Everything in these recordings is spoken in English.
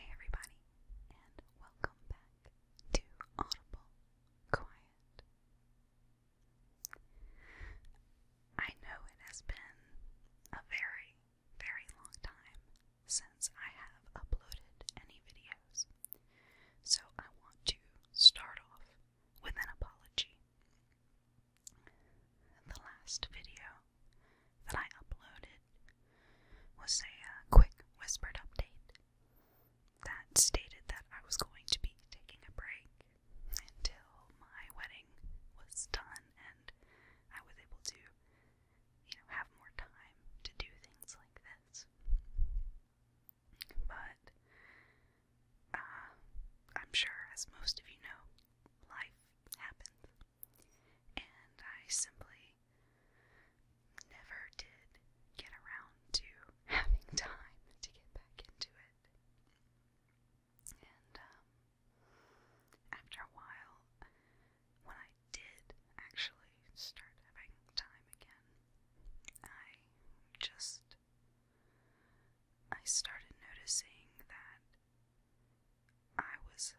Hey everybody, and welcome back to Audible Quiet. I know it has been a very, very long time since I have uploaded any videos. So I want to start off with an apology. The last video that I uploaded was a uh, quick whispered update that stated that I was going to be taking a break until my wedding was done and I was able to you know, have more time to do things like this. But uh, I'm sure, as most of you know, life happened, and I simply never did get around to having time to get back into it. And um, after a while, when I did actually start having time again, I just I started noticing that I was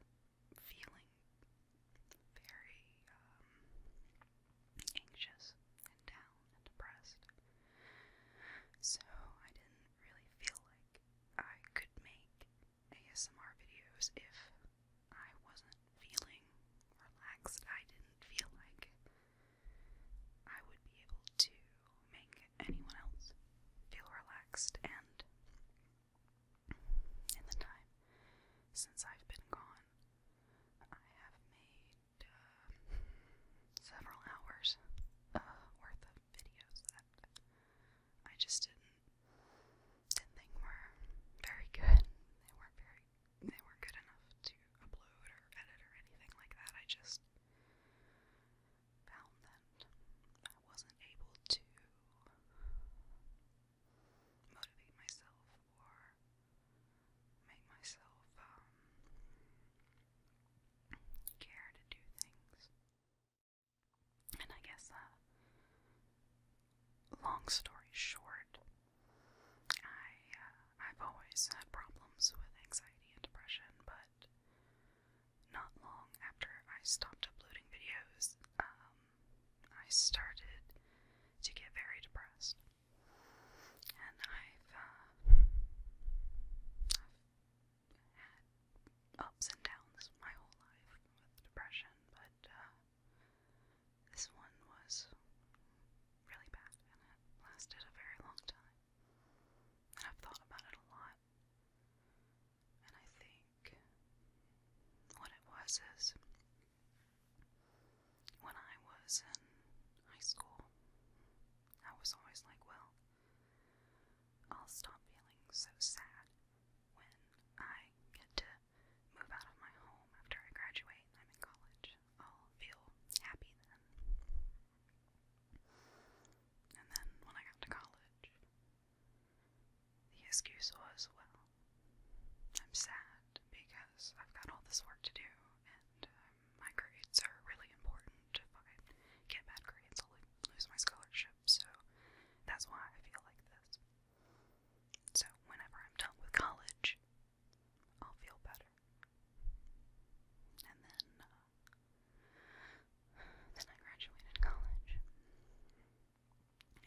feeling very um, anxious and down and depressed. So I didn't really feel like I could make ASMR videos if I wasn't feeling relaxed. I didn't feel like I would be able to make anyone else feel relaxed. And in the time since I've been gone, I have made uh, several hours uh, worth of videos that I just didn't didn't think were very good. They weren't very they weren't good enough to upload or edit or anything like that. I just found that I wasn't able to motivate myself or make myself um, care to do things. And I guess, uh, long story short, I, uh, I've always had problems with anxiety and depression, but not long after I stopped uploading videos, um, I started to get very depressed. And I've uh, ups and downs my whole life with depression, but uh, this one was really bad and it lasted a very long time. And I've thought about it a lot. And I think what it was is when I was in high school, I was always like, well, I'll stop feeling so sad when I get to move out of my home after I graduate I'm in college. I'll feel happy then. And then when I got to college, the excuse was well, I'm sad because I've got all this work to do and um, my grades are really important. If I get bad grades, I'll lose my scholarship, so that's why I feel like this. So, whenever I'm done with college, I'll feel better. And then, uh, then I graduated college. And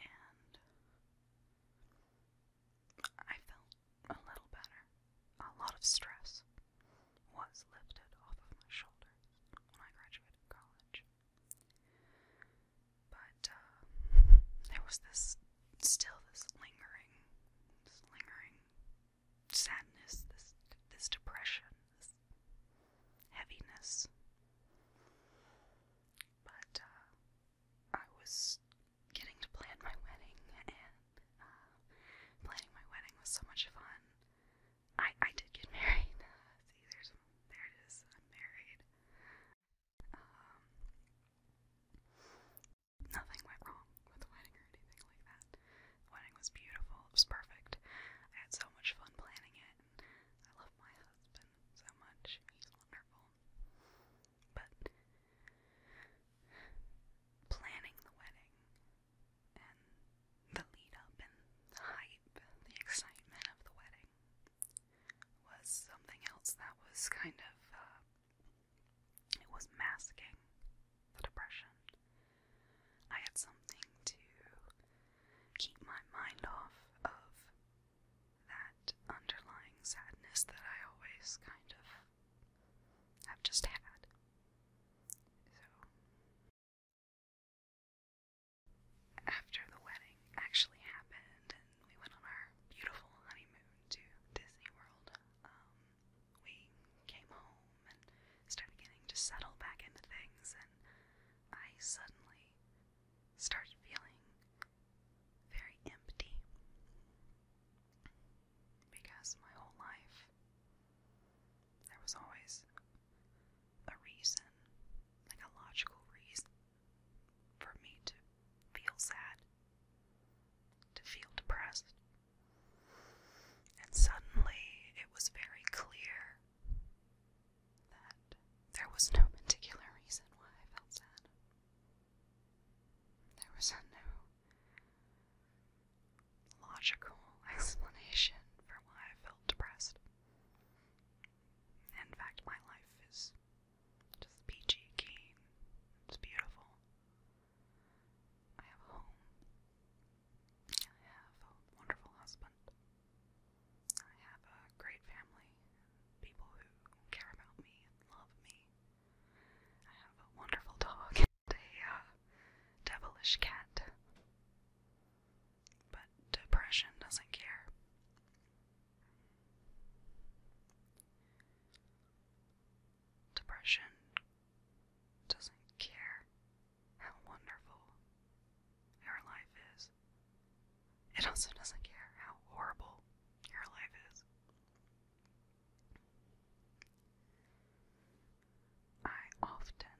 I felt a little better. A lot of stress was lifted off of my shoulders when I graduated college. But uh, there was this, still this lingering, lingering sadness, this this depression, this heaviness. But uh, I was getting to plan my wedding, and uh, planning my wedding was so much fun. I I did get married. See, there's there it is. I'm married. Um, nothing went wrong with the wedding or anything like that. The wedding was beautiful. It was perfect. I had so much fun planning it, I love my husband so much. He's wonderful. But planning the wedding and the lead up and the hype, the excitement of the wedding was something else that was kind of, uh, it was masking the depression. I had something to keep my mind off of that underlying sadness that I always kind of I've just had. So, after the wedding actually happened and we went on our beautiful honeymoon to Disney World, um, we came home and started getting to settle back into things, and I suddenly started feeling very empty because my whole life there was always a reason, like a logical reason, for me to feel sad, to feel depressed. And suddenly it was very clear that there was no particular reason why I felt sad. There was no logical explanation for why I felt depressed. In fact, my life is just peachy keen. It's beautiful. I have a home. I have a wonderful husband. I have a great family, people who care about me and love me. I have a wonderful dog. a uh, devilish cat. But depression doesn't care. Depression doesn't care how wonderful your life is. It also doesn't care how horrible your life is. I often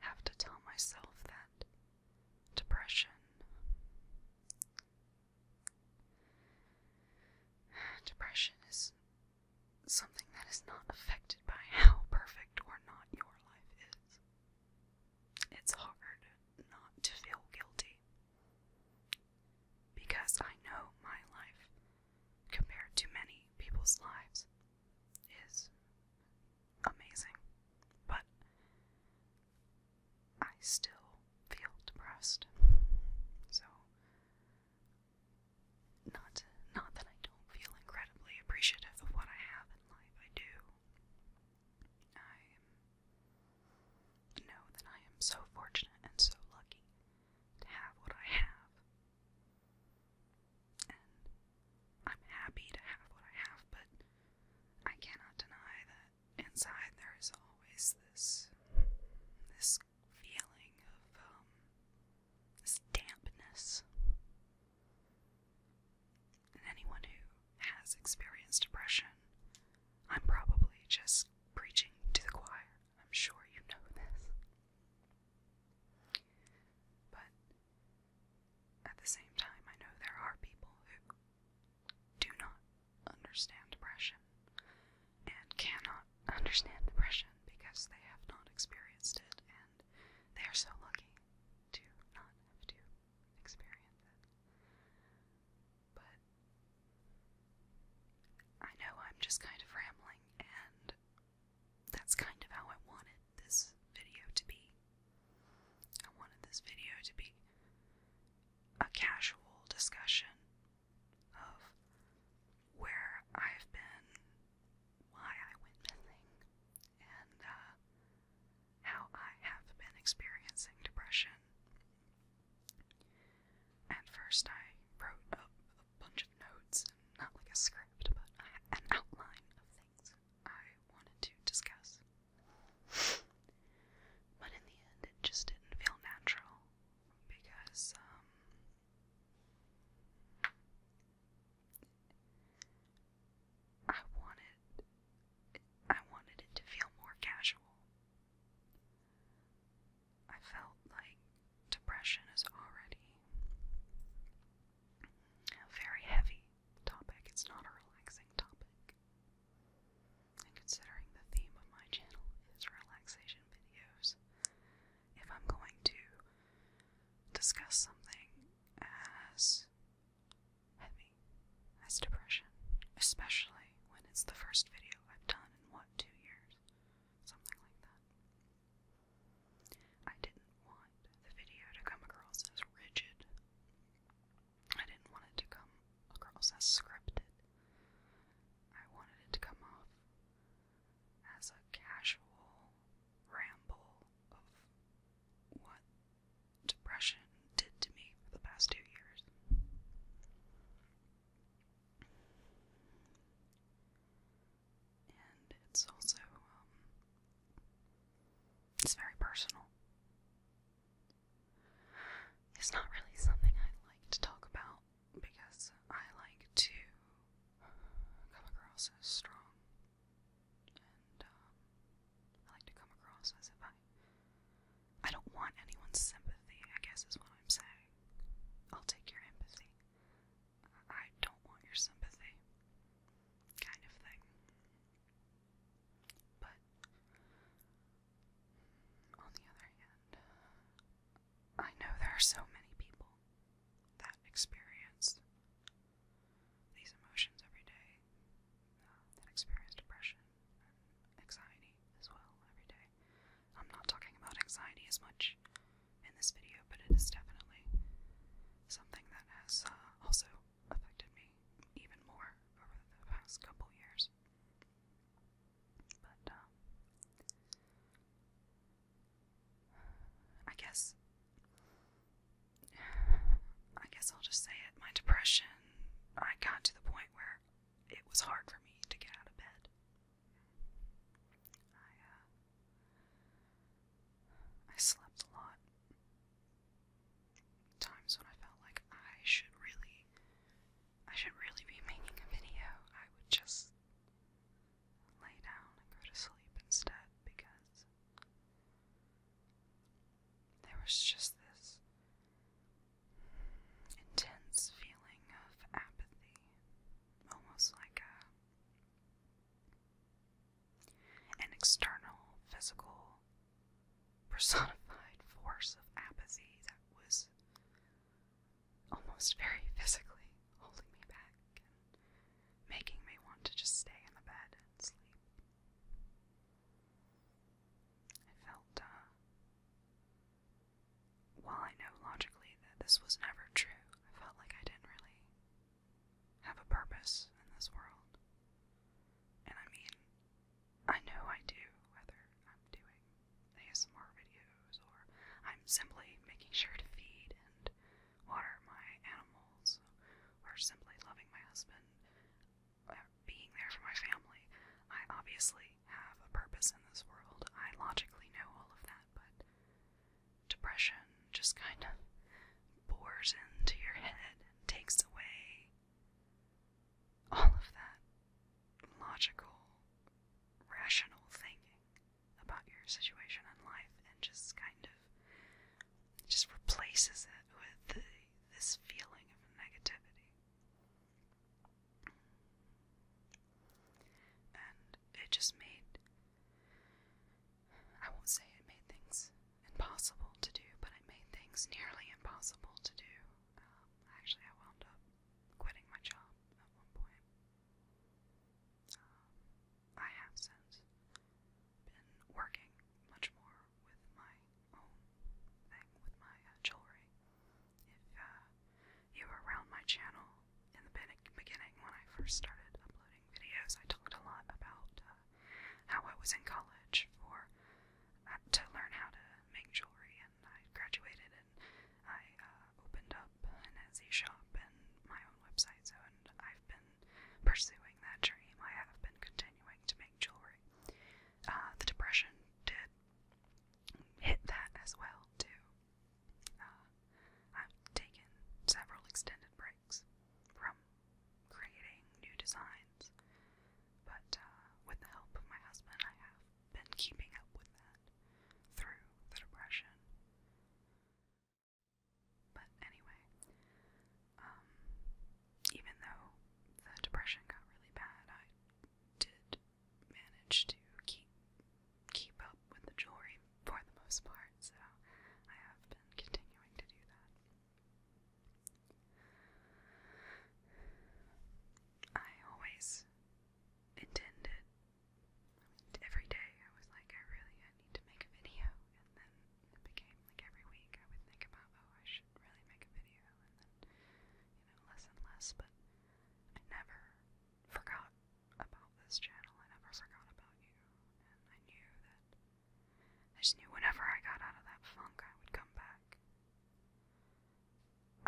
have to tell myself that depression. Depression is something that is not affected by how perfect or not your life is. It's hard not to feel guilty because I know my life compared to many people's lives is amazing. But I still feel depressed. So not not that I don't feel incredibly appreciative of what I have in life. I do. I know that I am so fortunate and so lucky to have what I have. And I'm happy to have what I have, but I cannot deny that inside there is always this this feeling of um this dampness. And anyone who has experienced depression, I'm probably just preaching to the choir. I'm sure you know this. But at the same time, I know there are people who do not understand depression and cannot understand depression because they have not experienced it, and they are so lucky to not have to experience it but I know I'm just kind of rambling, and that's kind of how I wanted this video to be. I wanted this video to be a casual discussion of where I've been, why I went missing, and uh, how I have been experiencing depression at first, I wrote up a bunch of notes, and not like a script, but an outline of things I wanted to discuss. But in the end, it just didn't feel natural because, um, I wanted, I wanted it to feel more casual. I felt like depression is already a very heavy topic. It's not a relaxing topic. And considering the theme of my channel is relaxation videos, if I'm going to discuss something as heavy as depression, especially when it's the first video I've done in what, two years? Something like that. I didn't want the video to come across as rigid. I didn't want it to come across as scripted. I wanted it to come off as a casual ramble of what depression did to me for the past two years. And it's also, um, it's very personal. It's not really something I like to talk about because I like to come across as strong and um, I like to come across as if I I don't want anyone's sympathy, I guess is what I'm saying. I'll take your empathy. I don't want your sympathy. Kind of thing. But, on the other hand, I know there are so many people that experience these emotions every day, that experience depression, anxiety as well every day. I'm not talking about anxiety as much in this video, but it is definitely something that has uh, also affected me even more over the past couple years. But, um, I guess, I guess I'll just say it. My depression, I got to the point where it was hard for me to get out of bed. I, uh, I slept a lot. Times when I felt like I should really, I should really be making a video, I would just lay down and go to sleep instead because there was just this intense feeling of apathy, almost like a an external, physical, personified force of apathy that was almost very physically holding me back and making me want to just stay in the bed and sleep. I felt, uh, while I know logically that this was never true, I felt like I didn't really have a purpose in this world. And I mean, I know I do, whether I'm doing ASMR videos or I'm simply making sure to feed and water my animals or simply loving my husband being there for my family. I obviously have a purpose in this world. I logically know all of that, but depression just kind of bores into your head takes away all of that logical, rational thinking about your situation in life and just kind of just replaces it with this feeling of negativity. And it just made, I won't say it made things impossible to do, but it made things nearly impossible to do. Um, actually, I wound up quitting my job at one point. Um, I have since been working much more with my own thing, with my uh, jewelry. If uh, you were around my channel in the beginning when I first started uploading videos, I talked a lot about uh, how I was in college for to learn how to make jewelry, and I graduated and I opened up an Etsy shop and my own website. So, and I've been pursuing that dream. I have been continuing to make jewelry. Uh, the Depression did hit that as well too. Uh, I've taken several extended breaks from creating new designs, but uh, with the help of my husband, I have been keeping up with that through the Depression. But anyway, um, even though the depression got really bad, I did manage to keep keep up with the jewelry for the most part, so I have been continuing to do that. I always intended every day I was like, I really I need to make a video, and then it became like every week I would think about, oh, I should really make a video, and then, you know, less and less, but I never forgot about this channel. I never forgot about you, and I knew that. I just knew whenever I got out of that funk, I would come back.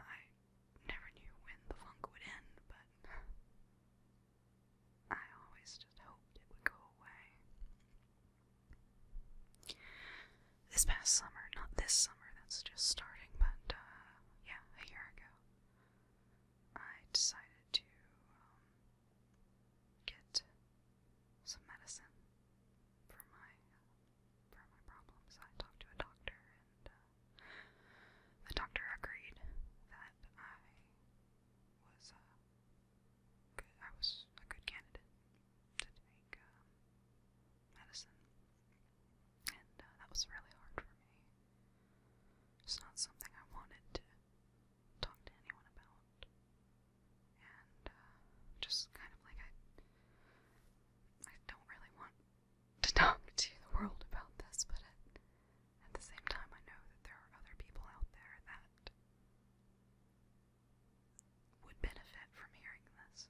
I never knew when the funk would end, but I always just hoped it would go away. This past summer, not this summer, that's just starting, but uh, yeah, a year ago, I decided to um, get some medicine for my uh, for my problems. I talked to a doctor, and uh, the doctor agreed that I was uh, I was a good candidate to take um, medicine, and uh, that was really hard for me. It's not something I wanted to talk to anyone about, and uh, just kind of like I, I don't really want to talk to the world about this, but at the same time, I know that there are other people out there that would benefit from hearing this,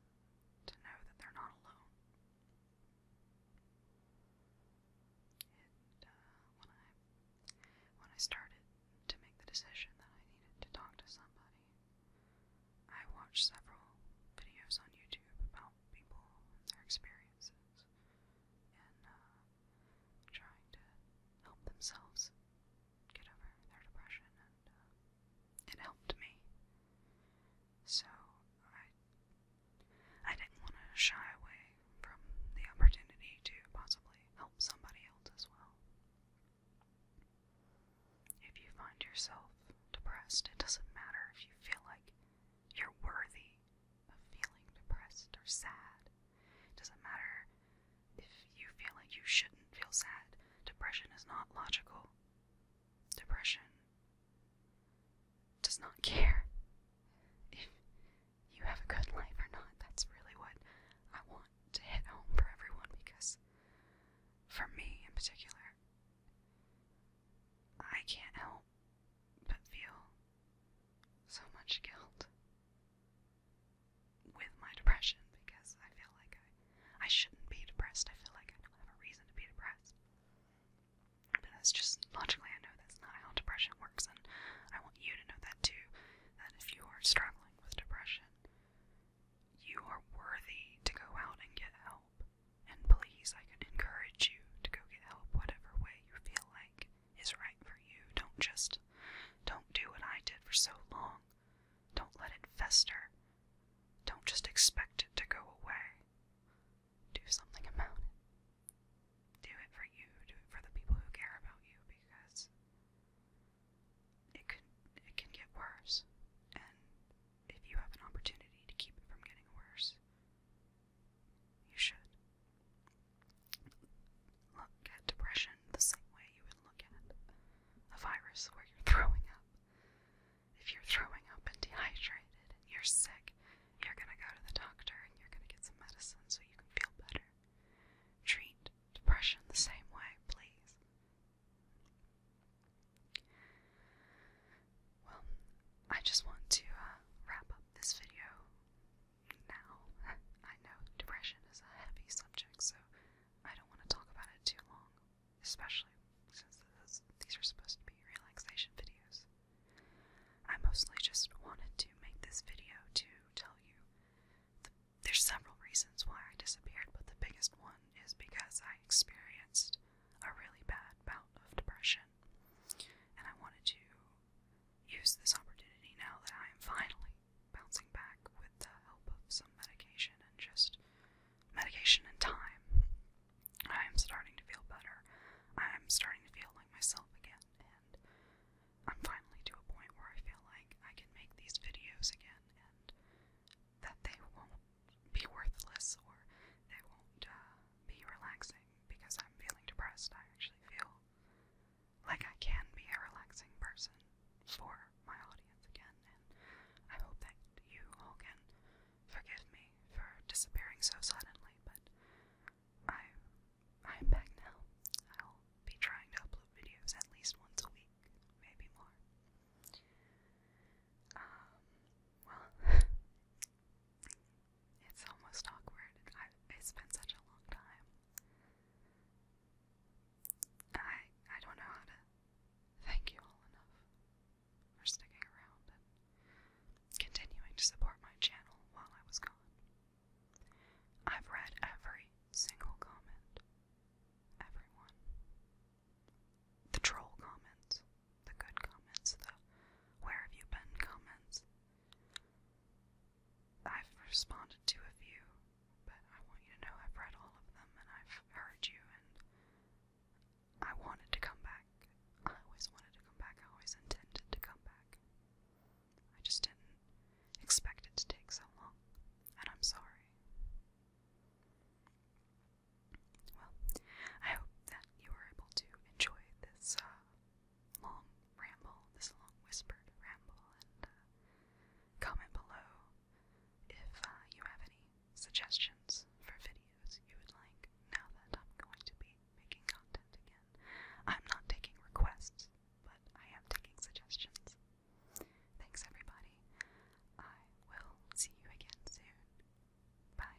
to know that they're not alone. Uh, when I when I started to make the decision that I needed to talk to somebody, I watched several videos on YouTube about people and their experiences and uh, trying to help themselves get over their depression, and uh, it helped me. So I, didn't want to shy away from the opportunity to possibly help somebody else as well. If you find yourself depressed, it doesn't matter if you feel like you're worthy of feeling depressed or sad. It doesn't matter if you feel like you shouldn't feel sad, depression is not logical. Depression does not care if you have a good life or not. That's really what I want to hit home for everyone because, for me in particular, I can't help but feel so much guilt with my depression because I feel like I, I shouldn't be depressed. I feel like I don't have a reason to be depressed. But that's just logically, I know that's not how depression works, and I want you to know that too. That if you are struggling with depression, you are worthy to go out and get help. And please, I can encourage you to go get help whatever way you feel like is right for you. Don't just, don't do what I did for so long. Don't let it fester. Don't just expect it to go away. Do something about it. Do it for you. Do it for the people who care about you because it could it can get worse. And if you have an opportunity to keep it from getting worse, you should look at depression the same way you would look at a virus where you're throwing up. If you're throwing up and dehydrated and you're sick, you're going to go to the doctor and you're going to get some medicine so you can feel better. Treat depression the same way, please. Well, I just want to uh, wrap up this video now. I know depression is a heavy subject, so I don't want to talk about it too long, especially since these are supposed to be relaxation videos. I mostly just wanted to make this video to tell you there's several reasons why I disappeared, but the biggest one is because I experienced a really bad bout of depression, and I wanted to use this opportunity now that I am finally bouncing back with the help of some medication and just medication and time. I am starting to feel better. I am starting to feel like myself again, and I'm finally to a point where I feel like I can make these videos again and that they won't be worthless or they won't uh, be relaxing because I'm feeling depressed. I actually feel like I can be a relaxing person for my audience again, and I hope that you all can forgive me for disappearing so suddenly, but I I'm back now. I'll be trying to upload videos at least once a week, maybe more. Um, well It's almost awkward. I, it's been such a long time. I I don't know how to thank you all enough for sticking around and continuing to support my channel while I was gone. I've read every single comment. Everyone. The troll comments, the good comments, the where have you been comments, I've responded to a few, but I want you to know I've read all of them and I've heard you, and I wanted to come back. I always wanted to come back. I always intended to come back. I just didn't expect it to take so long, and I'm sorry. Well, I hope that you were able to enjoy this uh, long ramble, this long whispered ramble, and uh, comment below if uh, you have any suggestions for videos you would like now that I'm going to be making content again. I'm not taking requests, but I am taking suggestions. Thanks, everybody. I will see you again soon. Bye.